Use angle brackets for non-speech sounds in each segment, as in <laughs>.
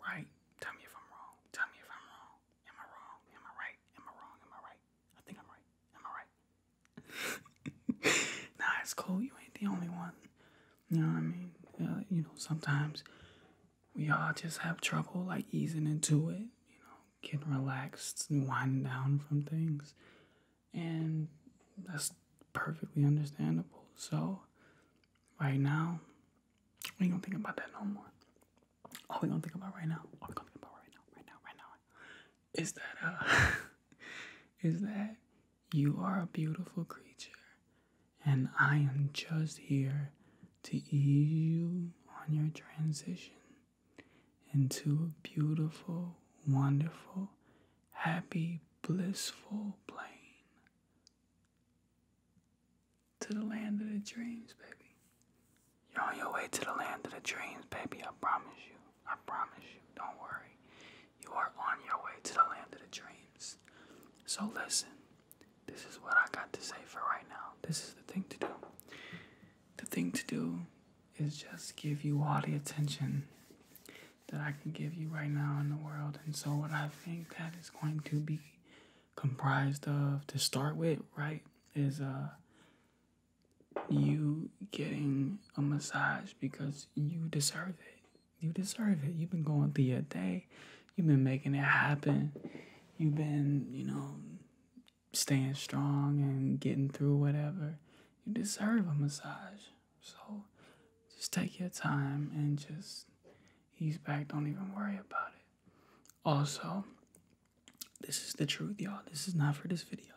Right? Tell me if I'm wrong. Tell me if I'm wrong. Am I wrong? Am I right? Am I wrong? Am I right? I think I'm right. Am I right? <laughs> nah, it's cool. You ain't the only one. You know what I mean? Uh, you know, sometimes we all just have trouble like easing into it, you know, getting relaxed and winding down from things. And that's perfectly understandable. So, right now, we ain't gonna think about that no more. All we gonna think about right now, all we gonna think about right now, right now, right now, is that uh, <laughs> is that you are a beautiful creature, and I am just here to ease you on your transition into a beautiful, wonderful, happy, blissful plane to the land of the dreams, baby. You're on your way to the land of the dreams, baby. I promise you. I promise you. Don't worry. You are on your way to the land of the dreams. So listen, this is what I got to say for right now. This is the thing to do. The thing to do is just give you all the attention that I can give you right now in the world. And so, what I think that is going to be comprised of to start with, right, is uh, you getting a massage because you deserve it. You deserve it. You've been going through your day, you've been making it happen, you've been, you know, staying strong and getting through whatever. You deserve a massage. So, just take your time and just He's back. Don't even worry about it. Also, this is the truth, y'all. This is not for this video.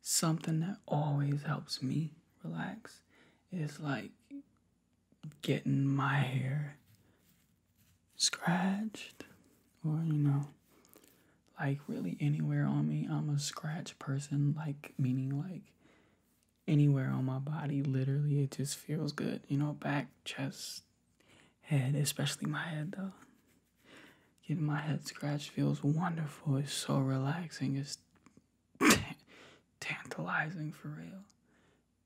Something that always helps me relax is like getting my hair scratched or, you know, like really anywhere on me. I'm a scratch person, like, meaning like anywhere on my body. Literally, it just feels good. You know, back, chest, head, especially my head though. Getting my head scratched feels wonderful. It's so relaxing. It's <laughs> tantalizing for real.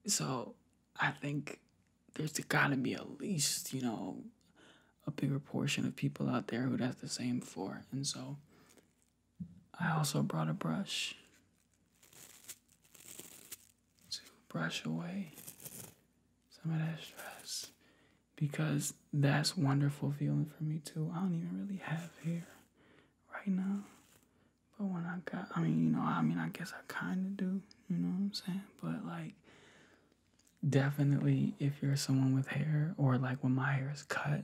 So I think there's gotta be at least, you know, a bigger portion of people out there who that's the same for. And so I also brought a brush to brush away some of that stress because that's wonderful feeling for me too. I don't even really have hair right now. But when I got I mean, you know, I mean I guess I kinda do, you know what I'm saying? But like definitely if you're someone with hair or like when my hair is cut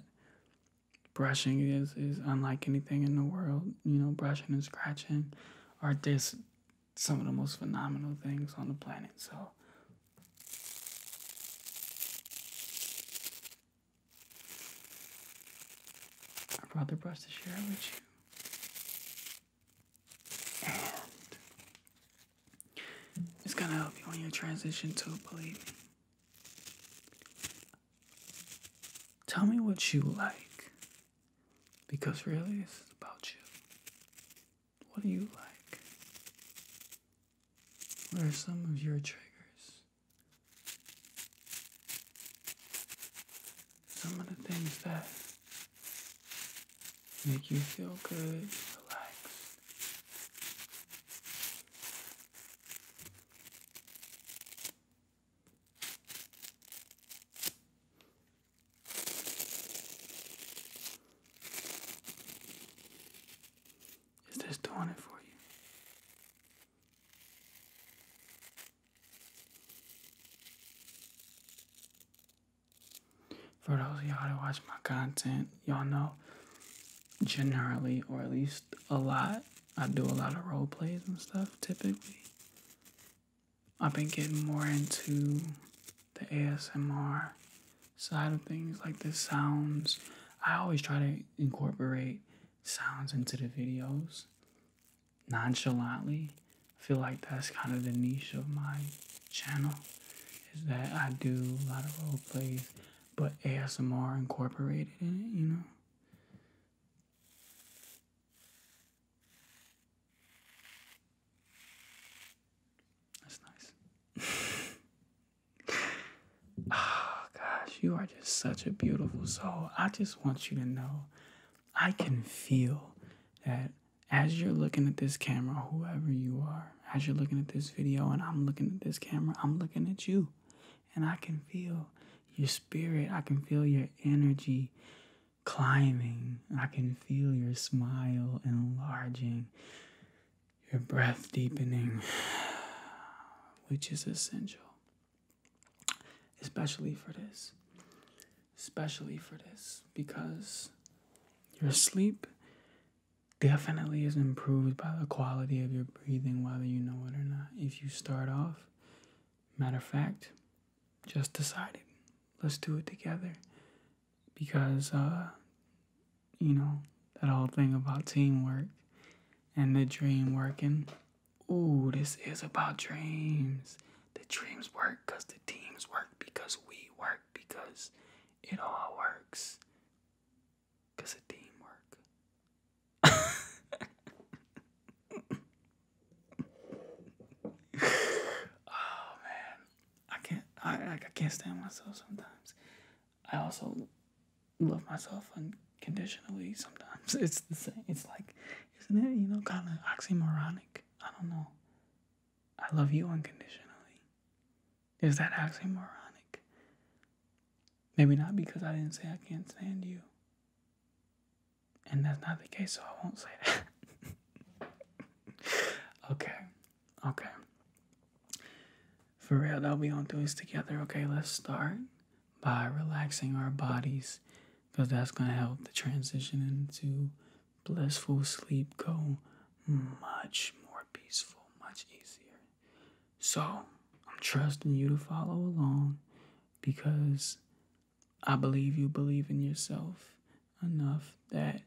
brushing is, is unlike anything in the world. You know, brushing and scratching are just some of the most phenomenal things on the planet. So, I brought the brush to share with you. And it's gonna help you on your transition too, believe me. Tell me what you like. Because really, this is about you. What do you like? What are some of your triggers? Some of the things that make you feel good, relaxed. Is this doing it for you? For those of y'all that watch my content, y'all know generally, or at least a lot. I do a lot of role plays and stuff typically. I've been getting more into the ASMR side of things, like the sounds. I always try to incorporate sounds into the videos nonchalantly. I feel like that's kind of the niche of my channel is that I do a lot of role plays, but ASMR incorporated in it, you know? That's nice. oh, <laughs> gosh, you are just such a beautiful soul. I just want you to know I can feel that as you're looking at this camera, whoever you are, as you're looking at this video and I'm looking at this camera, I'm looking at you and I can feel your spirit. I can feel your energy climbing. I can feel your smile enlarging, your breath deepening, <sighs> which is essential, especially for this. Especially for this, because your sleep definitely is improved by the quality of your breathing, whether you know it or not. If you start off, matter of fact, just decided, let's do it together. Because, uh, you know, that whole thing about teamwork and the dream working. Ooh, this is about dreams. The dreams work because the teams work, because we work, because it all works. Because of teamwork. oh man. I can't I I can't stand myself sometimes. I also love myself unconditionally sometimes. <laughs> It's the same it's like isn't it, you know, kinda oxymoronic? I don't know. I love you unconditionally. Is that oxymoronic? Maybe not because I didn't say I can't stand you. And that's not the case, so I won't say that. <laughs> okay, okay. For real though, we gonna do this together. Okay, let's start by relaxing our bodies because that's gonna help the transition into blissful sleep go much more peaceful, much easier. So I'm trusting you to follow along because I believe you believe in yourself enough that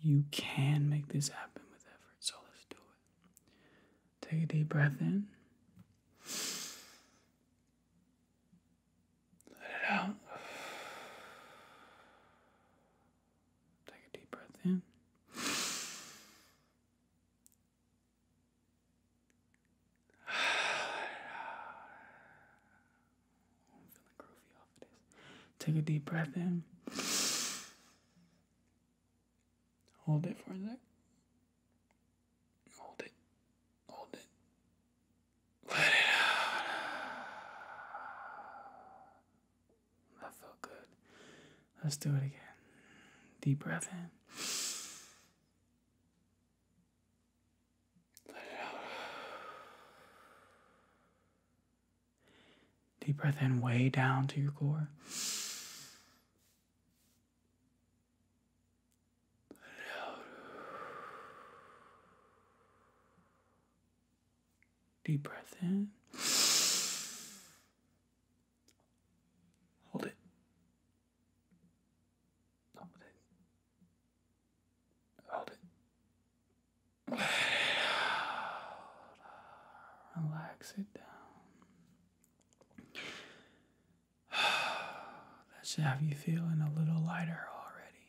you can make this happen with effort. So let's do it. Take a deep breath in. Let it out. Take a deep breath in. <sighs> Take a deep breath in. Hold it for a sec. Hold it. Hold it. Let it out. That felt good. Let's do it again. Deep breath in. Deep breath in, way down to your core. Deep breath in. Hold it. Hold it. Hold it. <sighs> Relax it down. <sighs> That should have you feeling a little lighter already.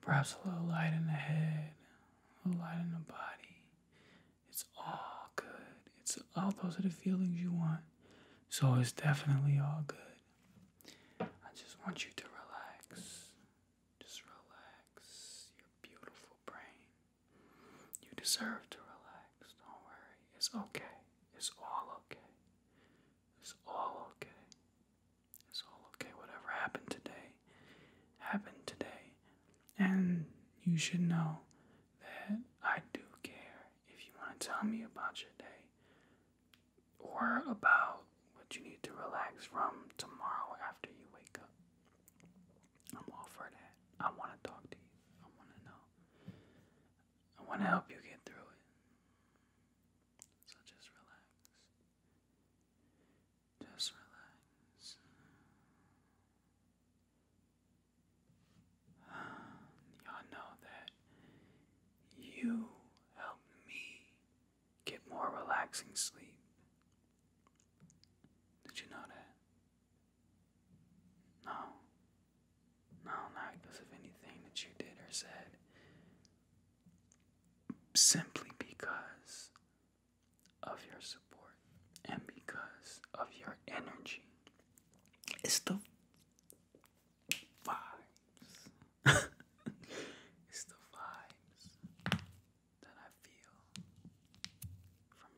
Perhaps a little light in the head, a little light in the body, it's all good. It's all those are the feelings you want. So it's definitely all good. I just want you to relax. Just relax your beautiful brain. You deserve to relax. Don't worry. It's okay. It's all okay. It's all okay. It's all okay. Whatever happened today, happened today. And you should know that I do care if you want to tell me about your day or about what you need to relax from tomorrow after you wake up. I'm all for that. I want to talk to you. I want to know. I want to help you get through it. So just relax. Just relax. <sighs> Y'all know that you helped me get more relaxing sleep. Did you know that? No. No, not because of anything that you did or said. Simply because of your support and because of your energy. It's the vibes. <laughs> it's the vibes that I feel from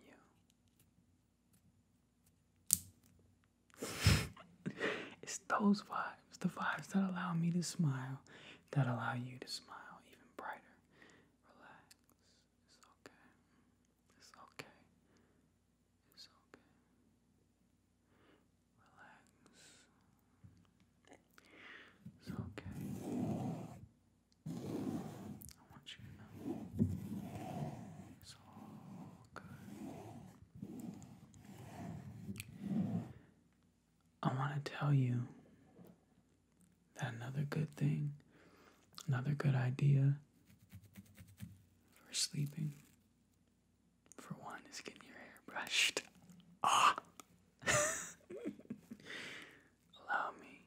you. <laughs> it's those vibes, the vibes that allow me to smile, that allow you to smile even brighter. Relax. It's okay. It's okay. It's okay. Relax. It's okay. I want you to know it's all good. I want to tell you another good thing, another good idea for sleeping, for one, is getting your hair brushed. Ah! <laughs> Allow me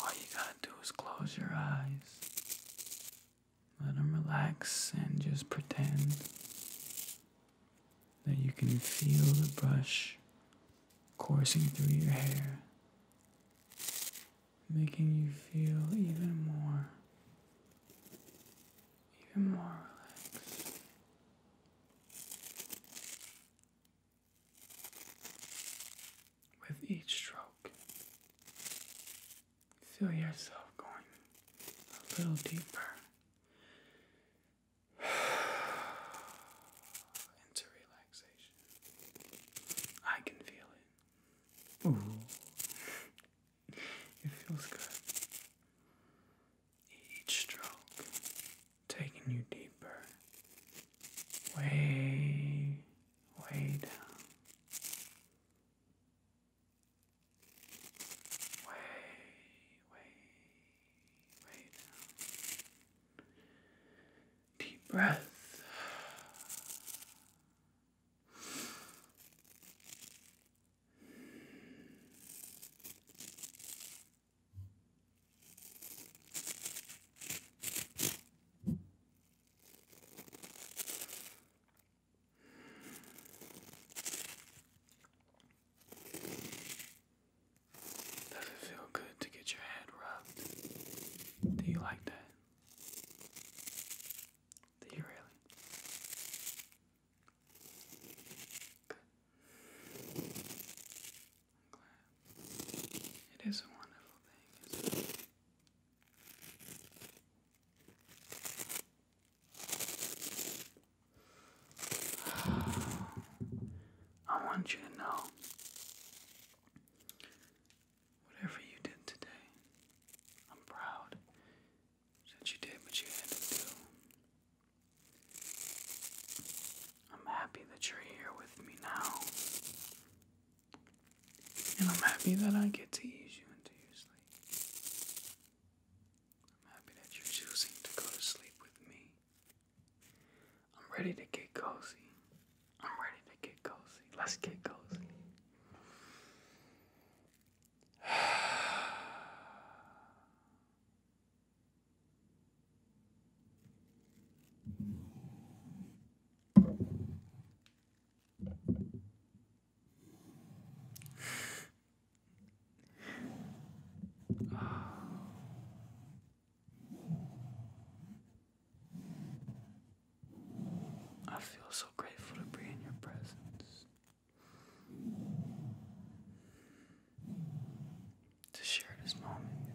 all you gotta do is close your eyes, let relax, and just pretend that you can feel the brush coursing through your hair, making you feel even more, even more relaxed. With each stroke, feel yourself going a little deeper <sighs> into relaxation. I can feel it. Ooh. <laughs> It feels good. Each stroke taking you deeper, way, way down, way, way, way down. Deep breath. Does it feel good to get your head rubbed? Do you like that? Do you really? It is a wonderful thing, <sighs> I want you to know whatever you did today, I'm proud that you did what you had to do. I'm happy that you're here with me now. And I'm happy that I get to ease you into your sleep. I'm happy that you're choosing to go to sleep with me. I'm ready to get cozy. I'm ready to get cozy. Let's get cozy. <sighs> <sighs> I feel so grateful to be in your presence. To share this moment with you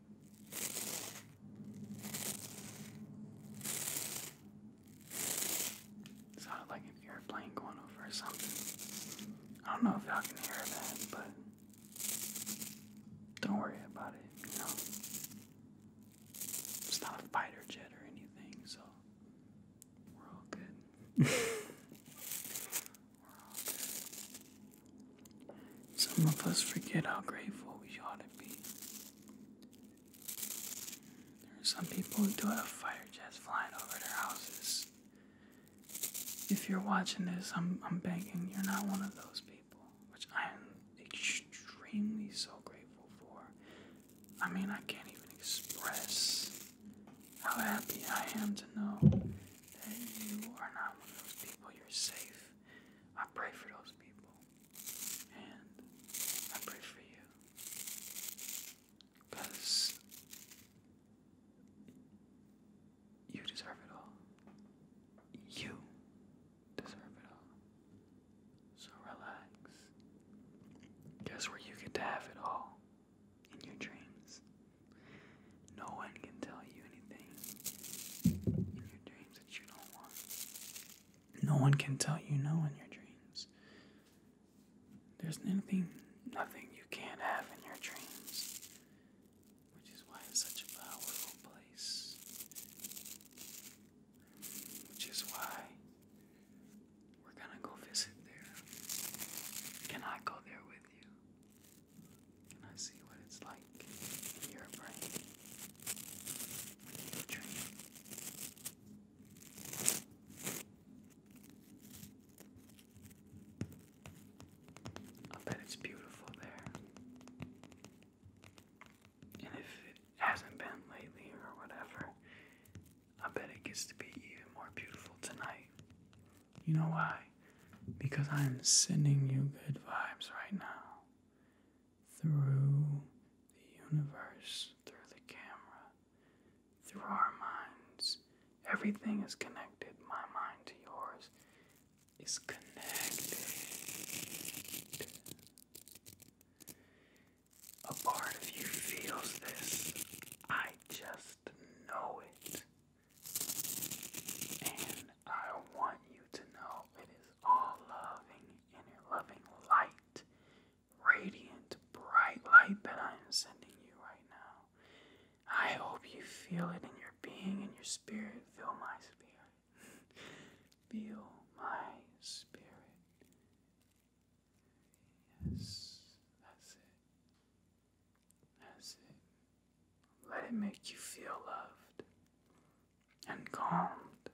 Sounded like an airplane going over something. I don't know if y'all can hear that, but don't worry about it, you know. It's not a fighter jet or anything, so we're all good. <laughs> we're all good. Some of us forget how grateful we ought to be. There are some people who do have fighter jets flying over their houses. If you're watching this, I'm, I'm begging you're not one of those people, which I am extremely so grateful for. I mean, I can't even express how happy I am to know that you are not one of those people. You're safe life. I pray for those people. And I pray for you. Because you deserve it all. You deserve it all. So relax. Guess where you get to have it all? In your dreams. No one can tell you anything. In your dreams, no one can tell you no in your dreams. There's nothing, nothing you can't have in your dreams, which is why it's such a powerful place. Which is why we're gonna go visit there. Can I go there with you? and I see what it's like in your brain when I bet it's beautiful there. And if it hasn't been lately or whatever, I bet it gets to be even more beautiful tonight. You know why? Because I am sending you good vibes right now through the universe, through the camera, through our minds. Everything is connected. My mind to yours is connected. A part of you feels this. I just know it. And I want you to know it is all loving in your loving light, radiant, bright light that I am sending you right now. I hope you feel it in your being, in your spirit. Feel my spirit. <laughs> feel my spirit. Yes, that's it. That's it. Let it make you feel loved and calmed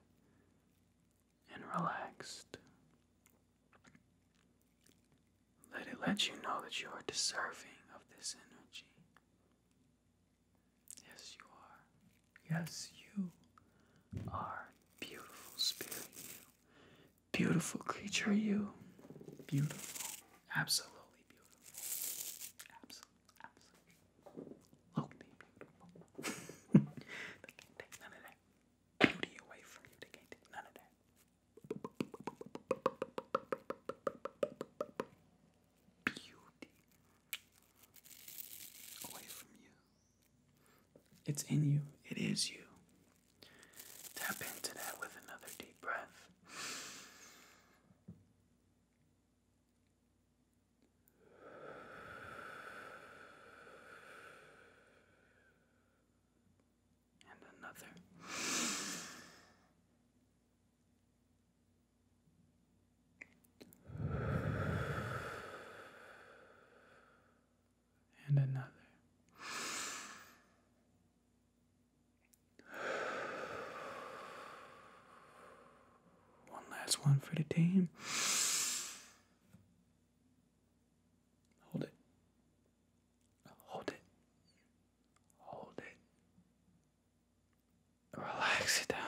and relaxed. Let it let you know that you are deserving of this energy. Yes, you are. Yes, you are. Beautiful spirit, you. Beautiful creature, you. Beautiful. Absolutely beautiful. Absolutely beauty away from you. none of that. Beauty away from you. It's in you. It is you. Tap into that with another deep breath. And another. And another. One last one for the team. Hold it. Hold it. Hold it. Relax it down.